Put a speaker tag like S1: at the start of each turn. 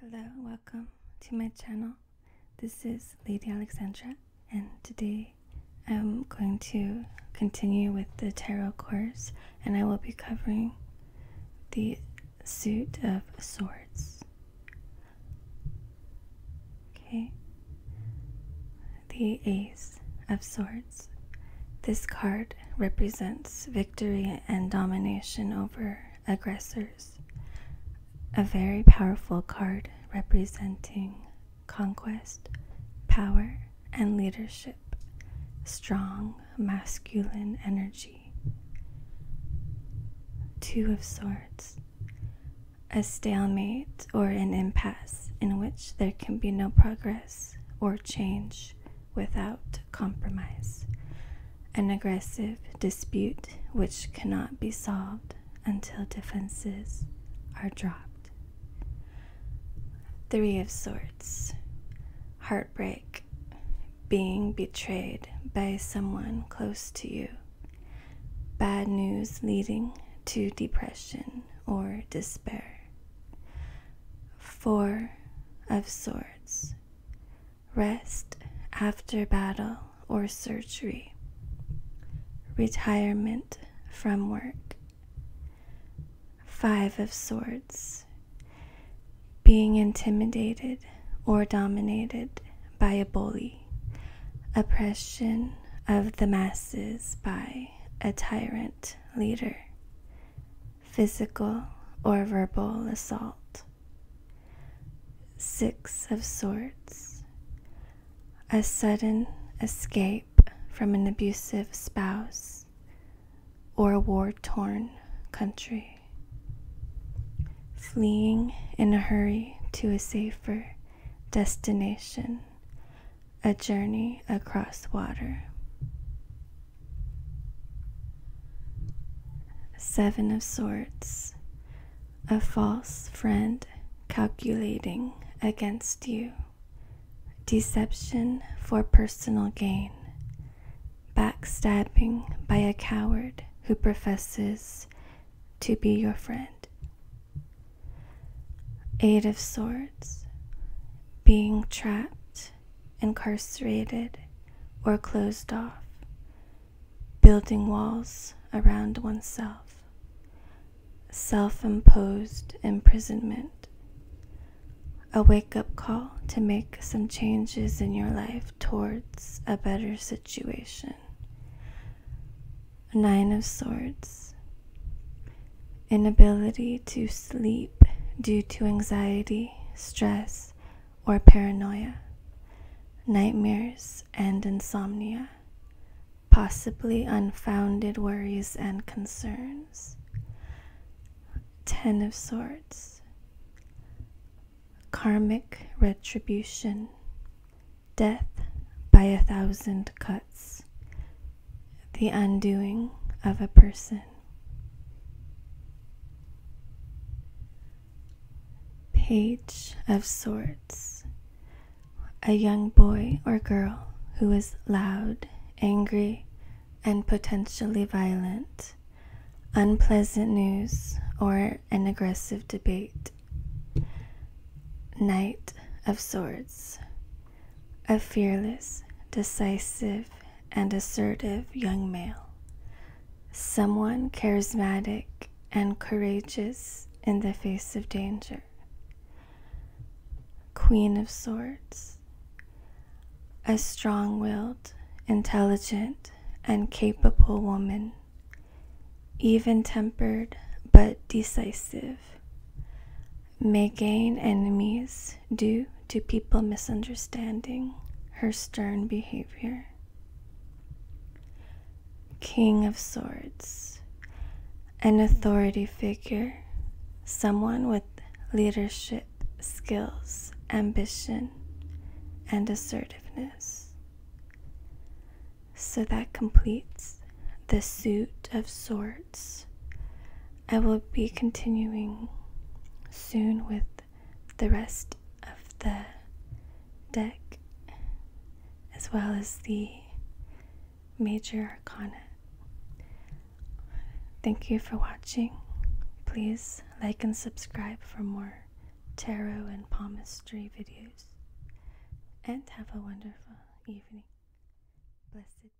S1: Hello, welcome to my channel. This is Lady Alexandra, and today I'm going to continue with the tarot course, and I will be covering the suit of swords. Okay, the ace of swords. This card represents victory and domination over aggressors, a very powerful card representing conquest, power, and leadership, strong masculine energy. Two of Swords, a stalemate or an impasse in which there can be no progress or change without compromise, an aggressive dispute which cannot be solved until defenses are dropped. Three of sorts: heartbreak, being betrayed by someone close to you, bad news leading to depression or despair. Four of Swords. Rest after battle or surgery. Retirement from work. Five of Swords. Being intimidated or dominated by a bully. Oppression of the masses by a tyrant leader physical or verbal assault. Six of sorts. a sudden escape from an abusive spouse or a war torn country. Fleeing in a hurry to a safer destination a Journey Across Water. Seven of Swords. A false friend calculating against you. Deception for personal gain. Backstabbing by a coward who professes to be your friend. Eight of Swords being trapped, incarcerated, or closed off, building walls around oneself, self imposed imprisonment, a wake up call to make some changes in your life towards a better situation. Nine of Swords inability to sleep due to anxiety, stress, or paranoia, nightmares and insomnia, possibly unfounded worries and concerns. Ten of Swords, karmic retribution, death by a thousand cuts the undoing of a person. Page of Swords. A young boy or girl who is loud, angry, and potentially violent. Unpleasant news or an aggressive debate. Knight of Swords a fearless, decisive, and assertive young male, someone charismatic and courageous in the face of danger. Queen of Swords, a strong willed, intelligent, and capable woman even tempered but decisive, may gain enemies due to people misunderstanding her stern behavior. King of Swords, an authority figure, someone with leadership skills, ambition, and assertiveness. So that completes the suit of swords. I will be continuing soon with the rest of the deck as well as the major arcana. Thank you for watching. Please like and subscribe for more tarot and palmistry videos and have a wonderful evening. Blessed be.